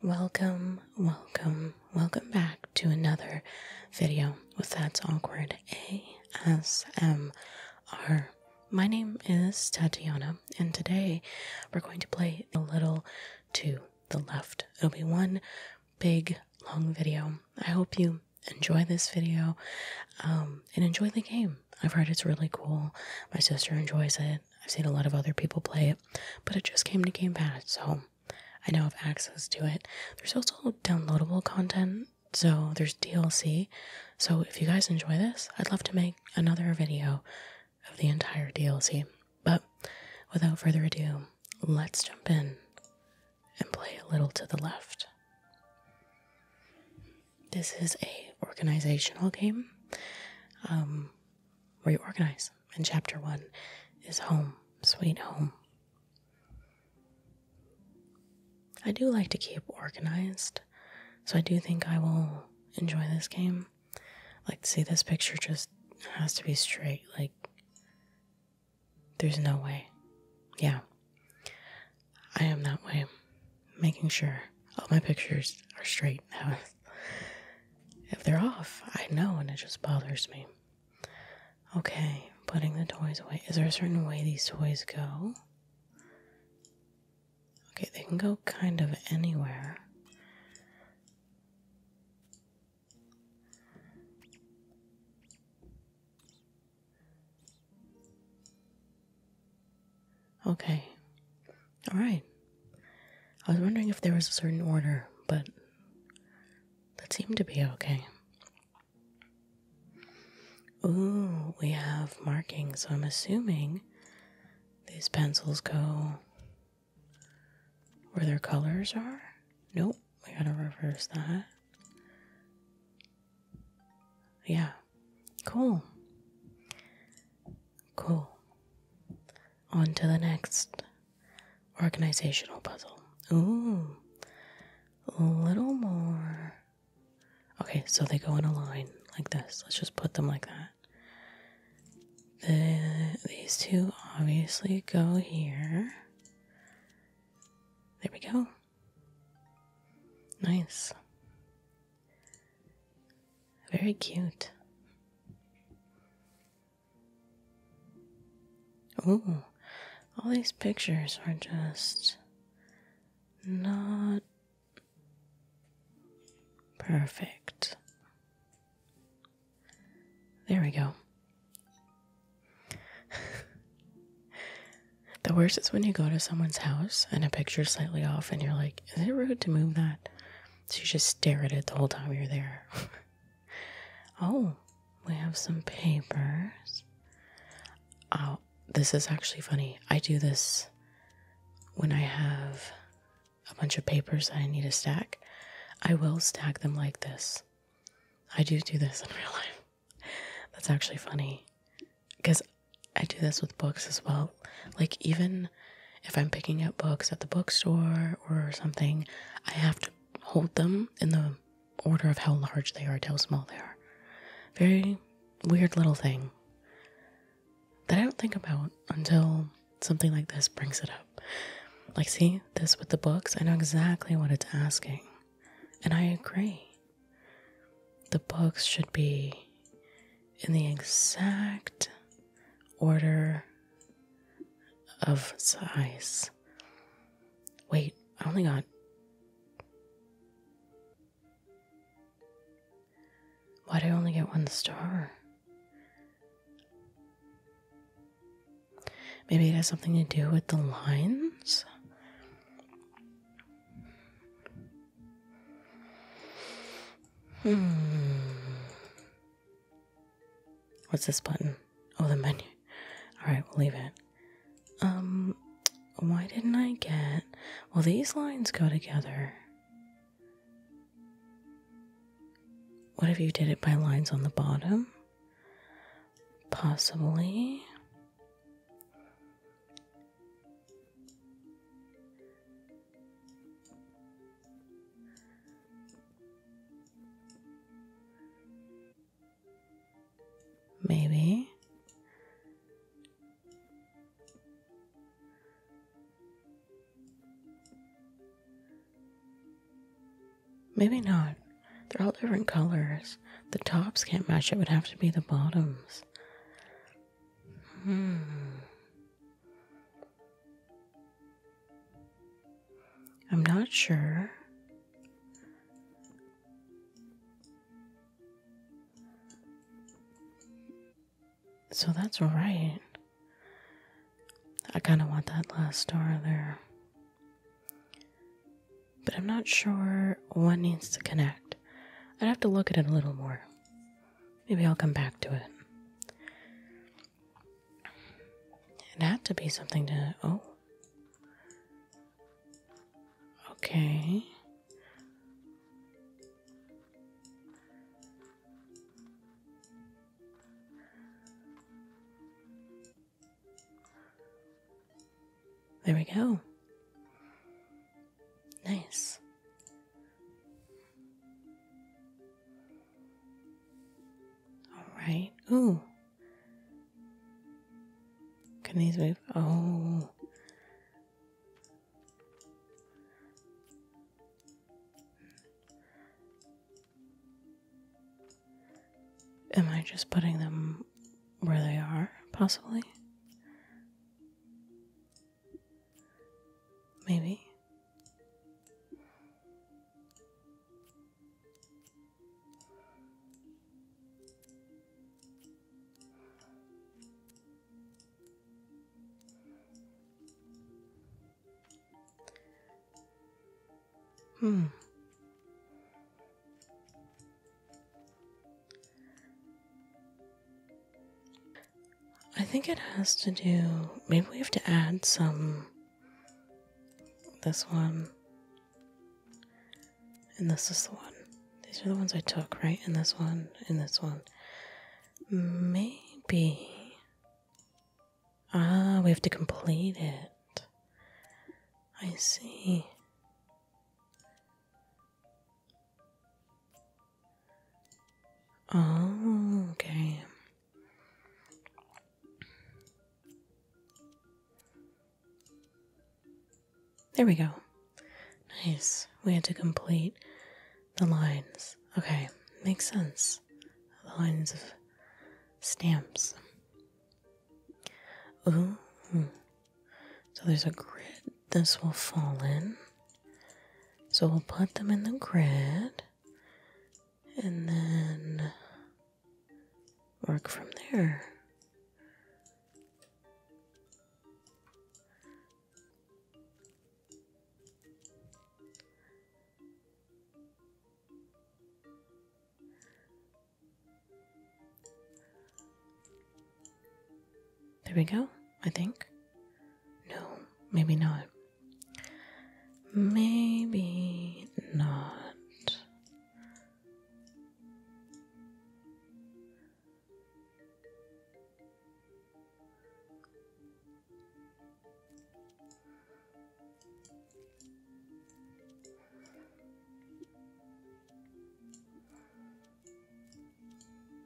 Welcome, welcome, welcome back to another video with That's Awkward ASMR. My name is Tatiana, and today we're going to play a little to the left. It'll be one big, long video. I hope you enjoy this video um, and enjoy the game. I've heard it's really cool. My sister enjoys it. I've seen a lot of other people play it, but it just came to Game Pass, so I now have access to it. There's also downloadable content, so there's DLC. So if you guys enjoy this, I'd love to make another video of the entire DLC. But without further ado, let's jump in and play a little to the left. This is a organizational game. Um, where you organize. And chapter one is home, sweet home. I do like to keep organized, so I do think I will enjoy this game. Like, see, this picture just has to be straight. Like, there's no way. Yeah. I am that way. Making sure all my pictures are straight. That If they're off, I know, and it just bothers me. Okay, putting the toys away. Is there a certain way these toys go? Okay, they can go kind of anywhere. Okay, all right. I was wondering if there was a certain order, but that seemed to be okay. Ooh, we have markings, so I'm assuming these pencils go where their colors are. Nope, we gotta reverse that. Yeah, cool. Cool. On to the next Organizational puzzle. Ooh. A little more. Okay, so they go in a line like this. Let's just put them like that. The, these two obviously go here. There we go. Nice. Very cute. Oh, all these pictures are just not perfect. There we go. the worst is when you go to someone's house and a picture's slightly off and you're like, is it rude to move that? So you just stare at it the whole time you're there. Oh, we have some papers. Oh, this is actually funny. I do this when I have a bunch of papers I need to stack. I will stack them like this. I do do this in real life. That's actually funny because I do this with books as well. Like, even if I'm picking up books at the bookstore or something, I have to hold them in the order of how large they are to how small they are. Very weird little thing that I don't think about until something like this brings it up. Like, see, this with the books, I know exactly what it's asking. And I agree. The books should be in the exact order of size. Wait, I only got. Why do I only get one star? Maybe it has something to do with the lines? Hmm. What's this button? Oh, the menu. Alright, we'll leave it. Um, why didn't I get. Well, these lines go together. What if you did it by lines on the bottom? Possibly. Maybe. Maybe not. They're all different colors. The tops can't match. It would have to be the bottoms. Hmm. I'm not sure. So that's right. I kind of want that last star there. But I'm not sure what needs to connect. I'd have to look at it a little more. Maybe I'll come back to it. It had to be something to. Oh. Okay. There we go. Nice. All right. Ooh. Can these move? Oh. Am I just putting them where they are, possibly? Maybe. Hmm. I think it has to do. Maybe we have to add some this one. And this is the one. These are the ones I took, right? And this one, and this one. Maybe. Ah, we have to complete it. I see. Oh, okay. There we go. Nice. We had to complete the lines. Okay, makes sense. The lines of stamps. Ooh. So there's a grid this will fall in. So we'll put them in the grid and then work from there. There we go, I think. No, maybe not. Maybe not.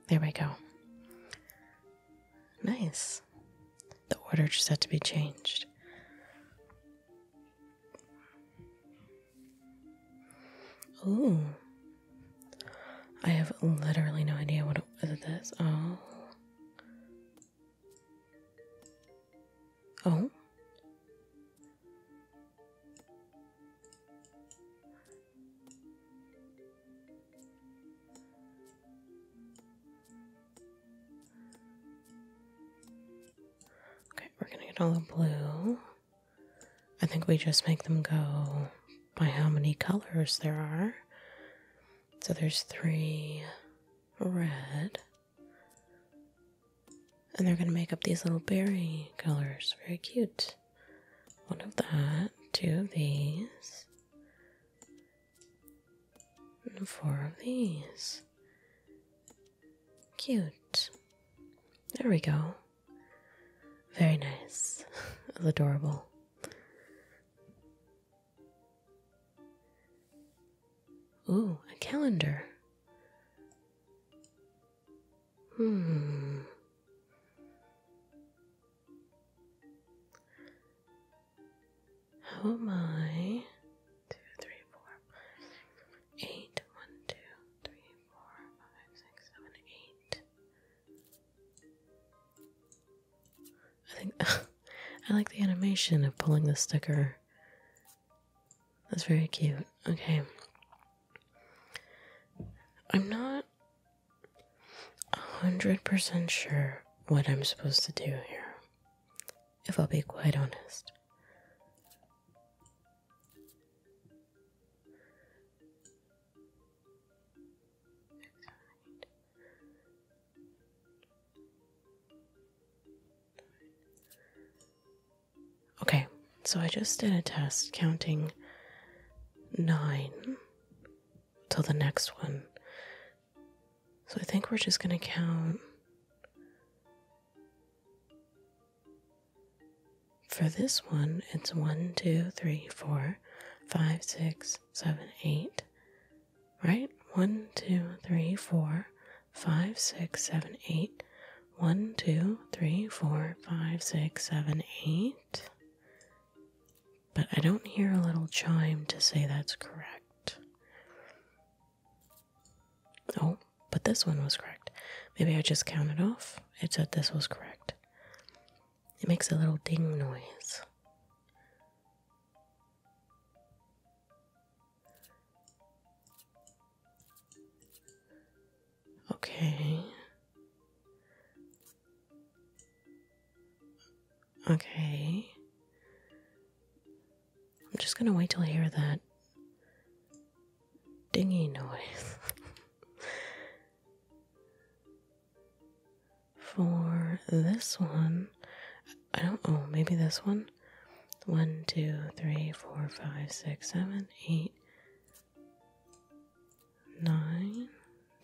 There we go. Nice. The order just had to be changed. Oh, I have literally no idea what this. Oh. Oh. Okay, we're gonna get all the blue. I think we just make them go by how many colors there are. So there's three red. And they're gonna make up these little berry colors. Very cute. One of that, two of these, and four of these. Cute. There we go. Very nice. Adorable. Ooh, a calendar. Hmm. How am I? Two, three, four, five, six, seven, eight. I think I like the animation of pulling the sticker. That's very cute. Okay. I'm not a hundred percent sure what I'm supposed to do here if I'll be quite honest. Okay, so I just did a test counting nine till the next one so I think we're just going to count for this one. It's 1, 2, 3, 4, 5, 6, 7, 8. Right? 1, 2, 3, 4, 5, 6, 7, 8. 1, 2, 3, 4, 5, 6, 7, 8. But I don't hear a little chime to say that's correct. Oh, but this one was correct. Maybe I just counted off. It said this was correct. It makes a little ding noise. Okay. Okay. I'm just gonna wait till I hear that dingy noise. For this one, I don't know. Oh, maybe this one. One, two, three, four, five, six, seven, eight, nine.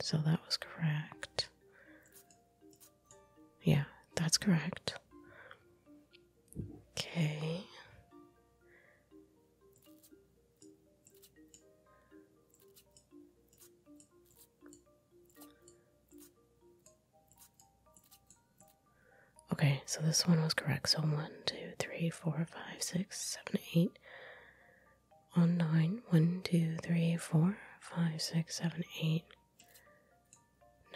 So that was correct. Yeah, that's correct. Okay. Okay, so this one was correct. So one, two, three, four, five, six, seven, eight. On nine, one, two, three, four, five, six, seven, eight.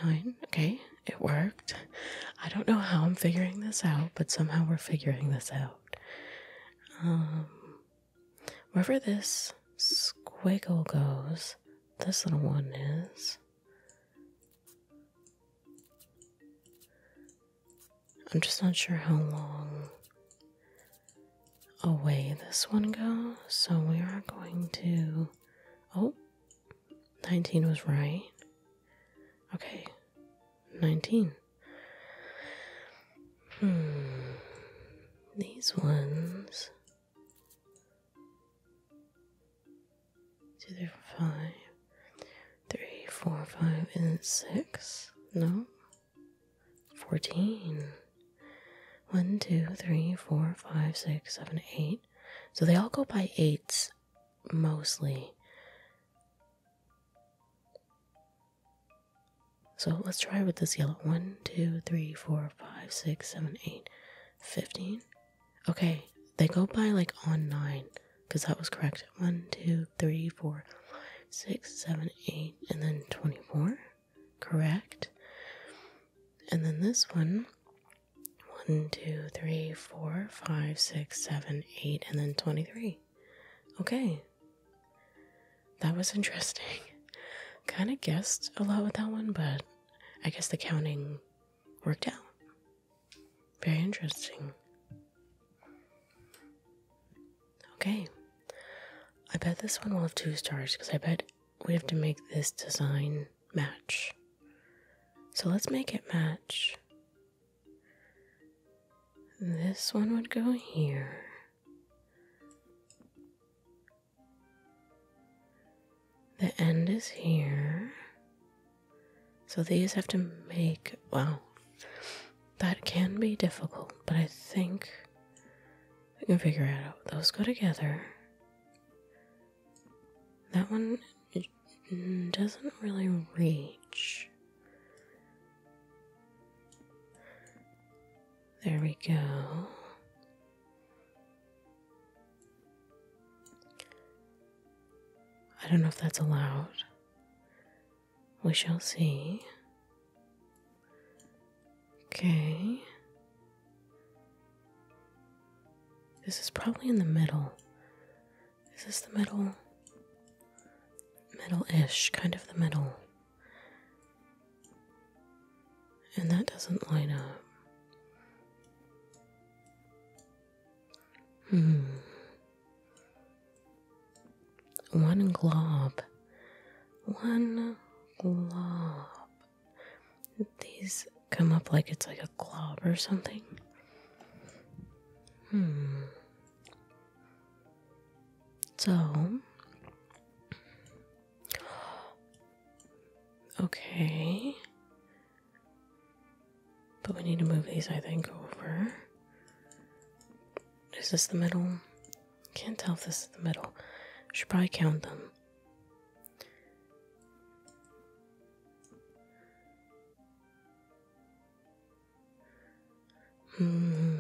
Nine. Okay, it worked. I don't know how I'm figuring this out, but somehow we're figuring this out. Um, wherever this squiggle goes, this little one is. I'm just not sure how long away this one goes, so we are going to. Oh, 19 was right. Okay, 19. Hmm, these ones. Two, three, four, five. Three, four, five, and six. No. Fourteen. One, two, three, four, five, six, seven, eight. So they all go by eights mostly. So let's try with this yellow. One, two, three, four, five, six, seven, eight, fifteen. Okay, they go by like on nine because that was correct. One, two, three, four, five, six, seven, eight, and then 24 correct? And then this one, one, two, three, four, five, six, seven, eight, and then 23. Okay. That was interesting. Kind of guessed a lot with that one, but I guess the counting worked out. Very interesting. Okay. I bet this one will have two stars because I bet we have to make this design match. So let's make it match. This one would go here. The end is here. So these have to make. Wow. That can be difficult, but I think we can figure it out. Those go together. That one doesn't really reach. There we go. I don't know if that's allowed. We shall see. Okay. This is probably in the middle. Is this the middle? Middle ish, kind of the middle. And that doesn't line up. Hmm. One glob. One glob. These come up like it's like a glob or something. Hmm. So. Okay. But we need to move these, I think, over. Is this the middle? Can't tell if this is the middle. Should probably count them. Hmm.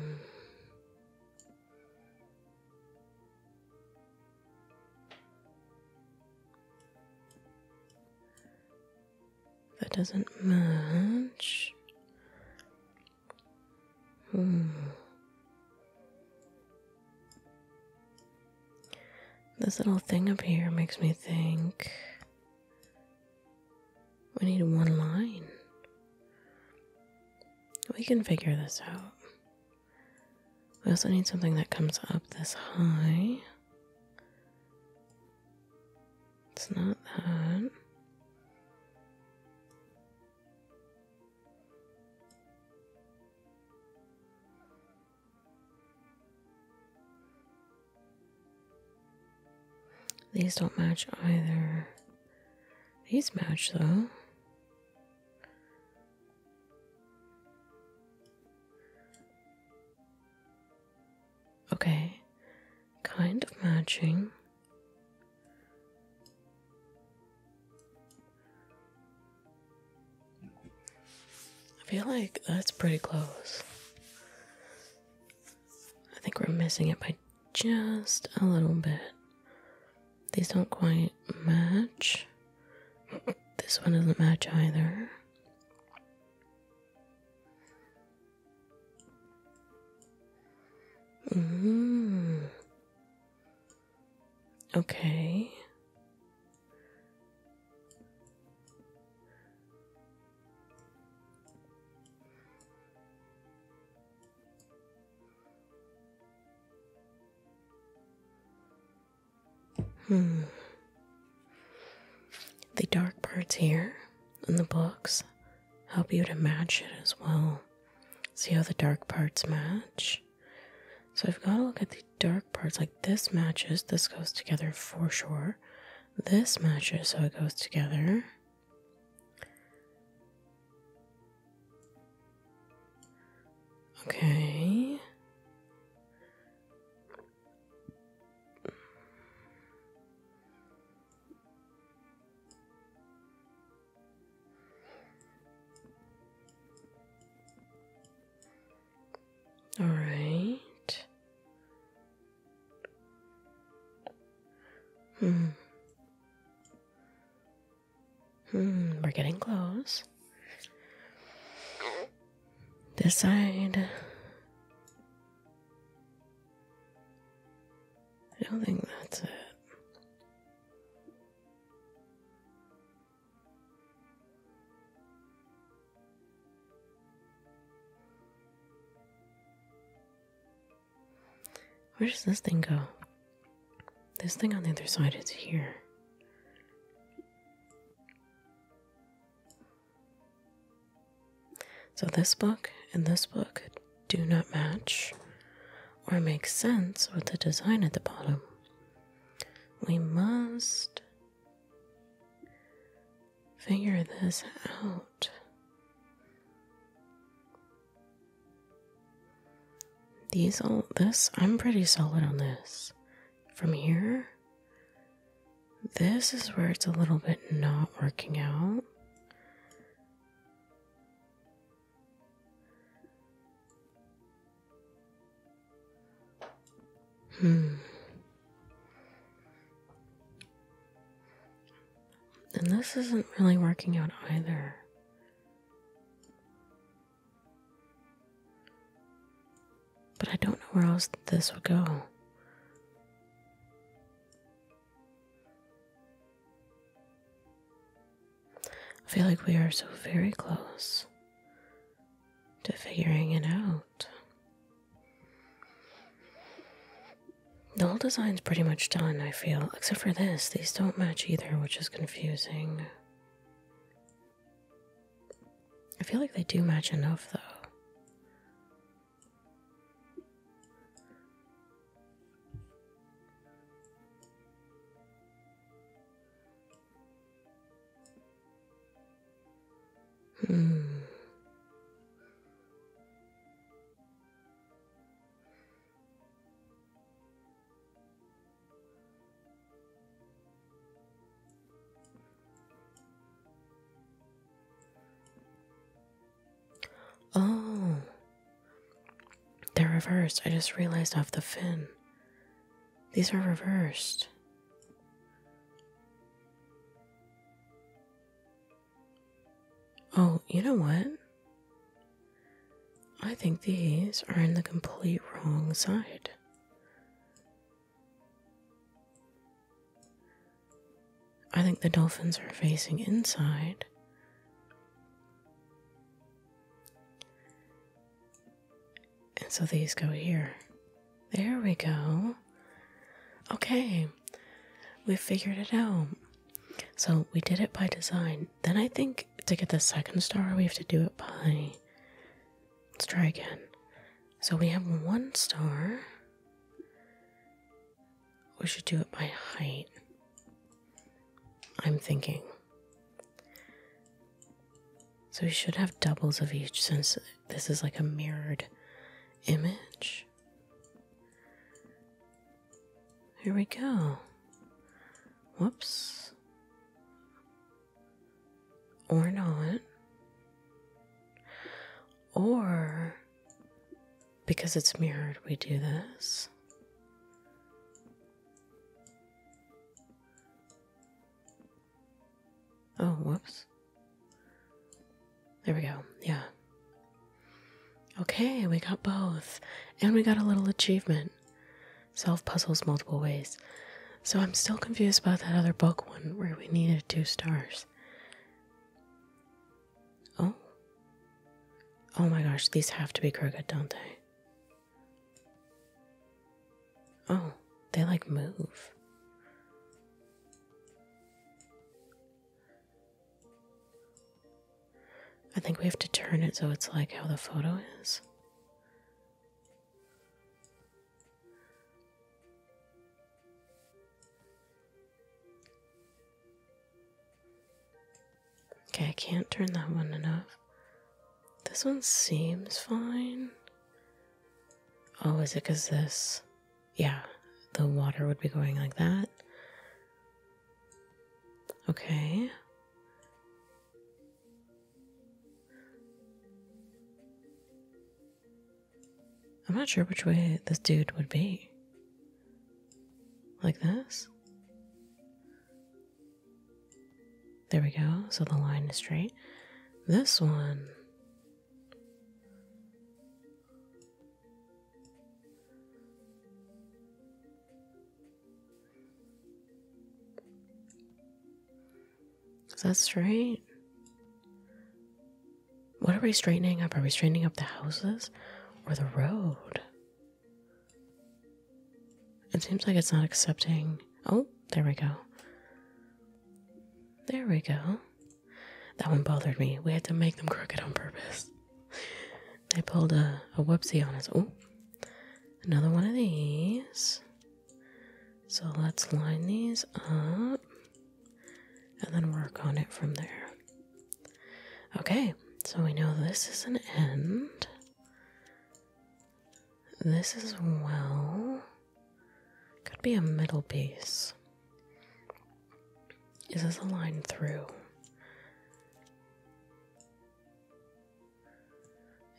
That doesn't match. Hmm. This little thing up here makes me think we need one line. We can figure this out. We also need something that comes up this high. It's not that. These don't match either. These match though. Okay, kind of matching. I feel like that's pretty close. I think we're missing it by just a little bit. These don't quite match. This one doesn't match either. Mm. Okay. Hmm. The dark parts here and the books help you to match it as well. See how the dark parts match? So I've got to look at the dark parts. Like this matches, this goes together for sure. This matches, so it goes together. Okay. All right. Hmm. Hmm, we're getting close. This side. I don't think that's it. Where does this thing go? This thing on the other side is here. So, this book and this book do not match or make sense with the design at the bottom. We must figure this out. These all this I'm pretty solid on this. From here, this is where it's a little bit not working out. Hmm. And this isn't really working out either. But I don't know where else this would go. I feel like we are so very close to figuring it out. The whole design's pretty much done, I feel, except for this. These don't match either, which is confusing. I feel like they do match enough, though. Hmm. Oh, they're reversed. I just realized off the fin. These are reversed. Oh, you know what? I think these are in the complete wrong side. I think the dolphins are facing inside. And so these go here. There we go. Okay, we figured it out. So we did it by design. Then I think to get the second star, we have to do it by. Let's try again. So we have one star. We should do it by height. I'm thinking. So we should have doubles of each since this is like a mirrored image. Here we go. Whoops. Or not. Or because it's mirrored, we do this. Oh, whoops. There we go. Yeah. Okay, we got both. And we got a little achievement. Solve puzzles multiple ways. So I'm still confused about that other book one where we needed two stars. Oh. Oh my gosh, these have to be crooked, don't they? Oh, they like move. I think we have to turn it so it's like how the photo is. Okay, I can't turn that one enough. This one seems fine. Oh, is it because this? Yeah, the water would be going like that. Okay. I'm not sure which way this dude would be. Like this? There we go, so the line is straight. This one. Is that straight? What are we straightening up? Are we straightening up the houses or the road? It seems like it's not accepting. Oh, there we go. There we go. That one bothered me. We had to make them crooked on purpose. They pulled a, a whoopsie on us. Oh, another one of these. So let's line these up and then work on it from there. Okay, so we know this is an end. This as well could be a middle piece. Is this a line through?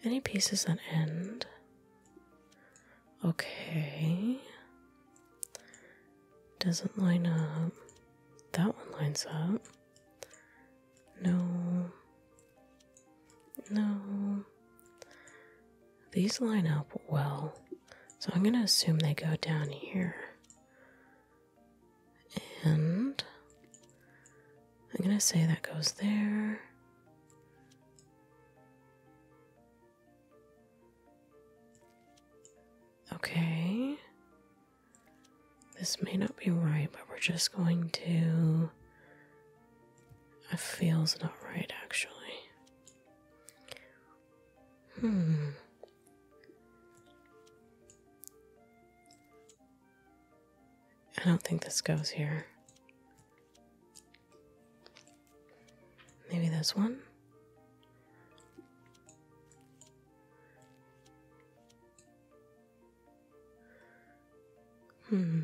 Any pieces that end? Okay. Doesn't line up. That one lines up. No. No. These line up well. So I'm going to assume they go down here. And I'm going to say that goes there. Okay. This may not be right, but we're just going to that feels not right, actually. Hmm. I don't think this goes here. Maybe this one? Hmm.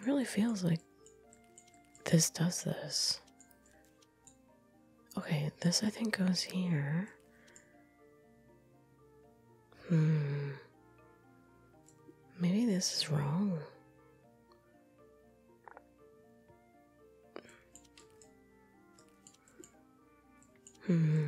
It really feels like this does this. Okay, this I think goes here. Hmm. Maybe this is wrong. Hmm.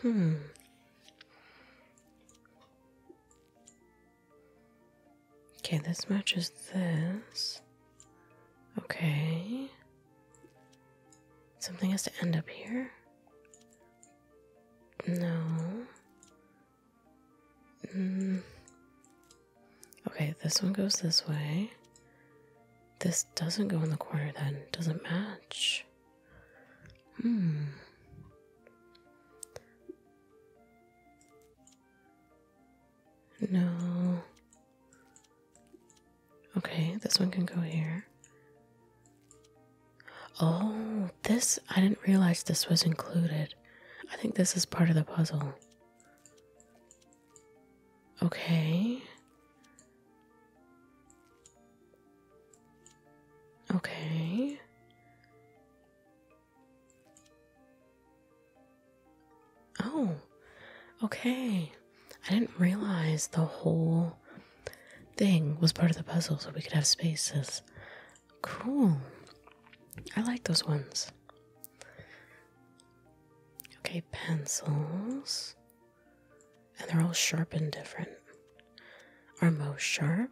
Hmm. Okay, this matches this. Okay. Something has to end up here. No. Mm. Okay, this one goes this way. This doesn't go in the corner then. Doesn't match. Hmm. No. Okay, this one can go here. Oh, this, I didn't realize this was included. I think this is part of the puzzle. Okay. Okay. Oh, okay. I didn't realize the whole thing was part of the puzzle, so we could have spaces. Cool. I like those ones. Okay, pencils. And they're all sharp and different. Are most sharp?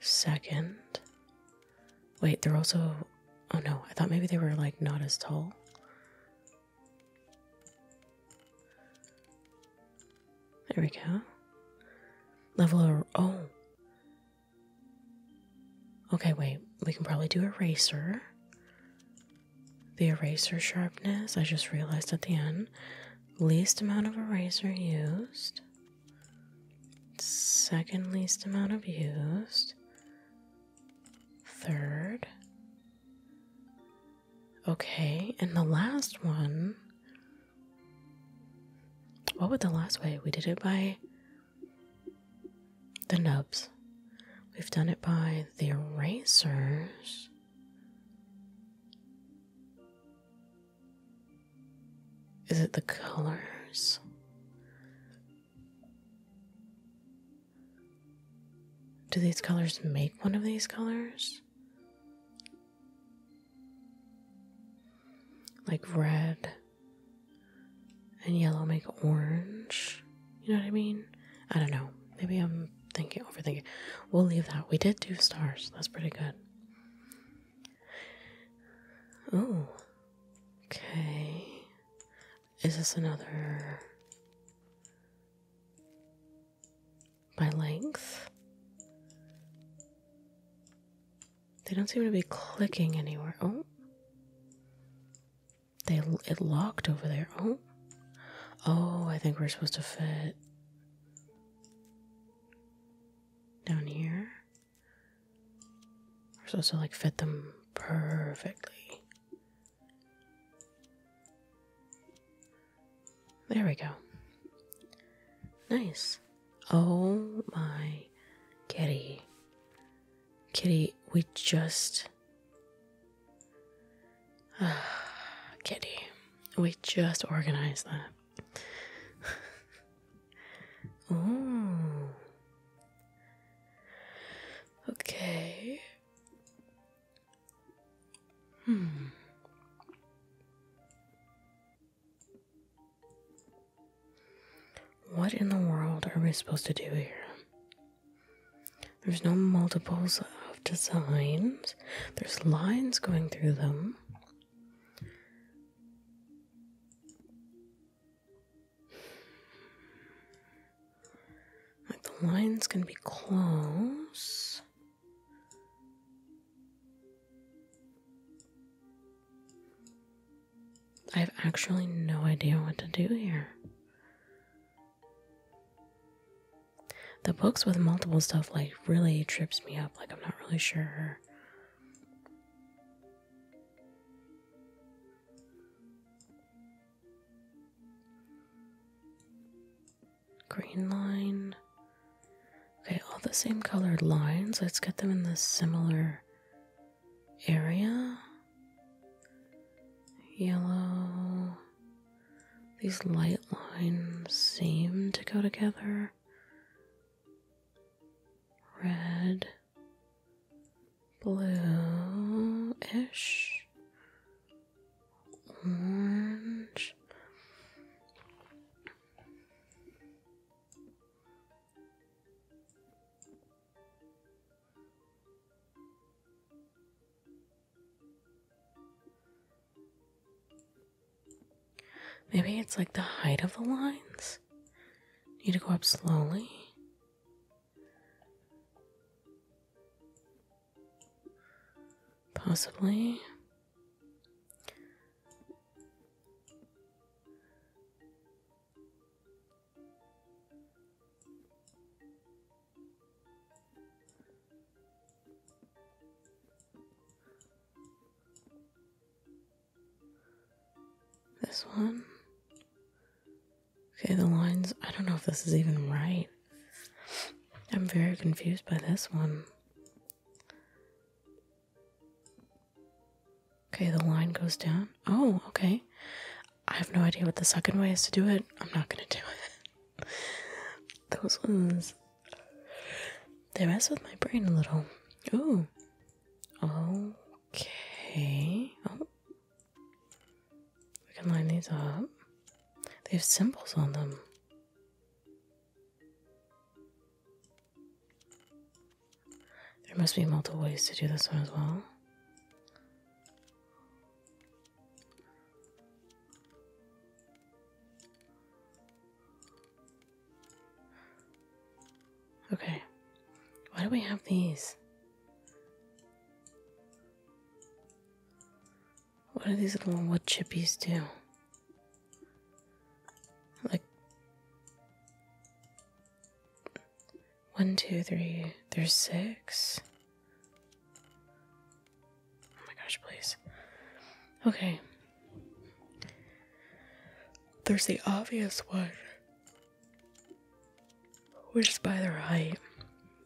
Second, wait, they're also. Oh no, I thought maybe they were like not as tall. There we go. Level of. Oh. Okay, wait. We can probably do eraser. The eraser sharpness, I just realized at the end least amount of eraser used, second least amount of used, third. Okay, and the last one. What would the last way? We did it by the nubs. We've done it by the erasers. Is it the colors? Do these colors make one of these colors? Like red and yellow make orange? You know what I mean? I don't know. Maybe I'm thinking, overthinking. We'll leave that. We did do stars. That's pretty good. Oh. Okay. Is this another by length? They don't seem to be clicking anywhere. Oh. They it locked over there. Oh. Oh, I think we're supposed to fit down here. We're supposed to like fit them perfectly. There we go. Nice. Oh my kitty. Kitty, we just. kitty, we just organized that oh. Okay. Hmm. What in the world are we supposed to do here? There's no multiples of designs. There's lines going through them the line's gonna be close. I have actually no idea what to do here. The books with multiple stuff like really trips me up. Like I'm not really sure. Green line. Okay, all the same colored lines. Let's get them in the similar area. Yellow. These light lines seem to go together. Red, blue-ish, orange. Maybe it's like the height of the lines. Need to go up slowly. Possibly. This one. Okay, the lines. I don't know if this is even right. I'm very confused by this one. Okay, the line goes down. Oh, okay. I have no idea what the second way is to do it. I'm not gonna do it. Those ones they mess with my brain a little. Ooh. Okay. Oh. We can line these up. They have symbols on them. There must be multiple ways to do this one as well. Okay. Why do we have these? What do these little wood chippies do? Like one, two, three. There's six. Oh my gosh, please. Okay, there's the obvious one, which is by their height,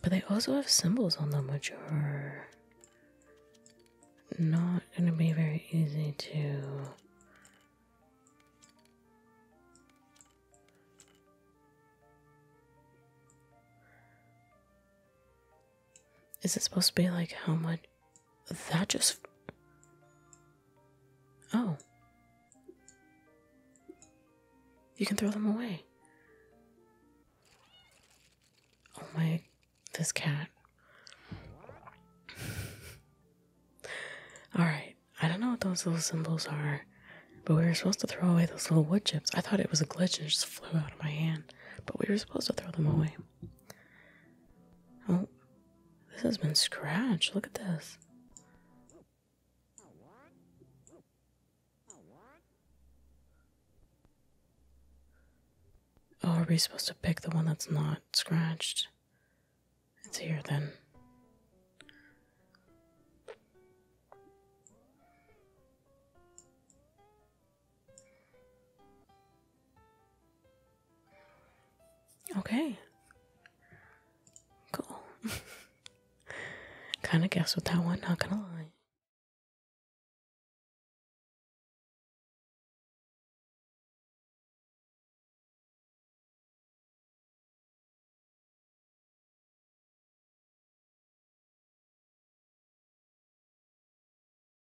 but they also have symbols on them, which are not going to be very easy to. Is it supposed to be like how much that just. Oh. You can throw them away. Oh my. This cat. Alright, I don't know what those little symbols are, but we were supposed to throw away those little wood chips. I thought it was a glitch and it just flew out of my hand, but we were supposed to throw them away. Oh, this has been scratched. Look at this. Oh, are we supposed to pick the one that's not scratched? It's here then. Okay. Cool. kind of guessed with that one, not gonna lie.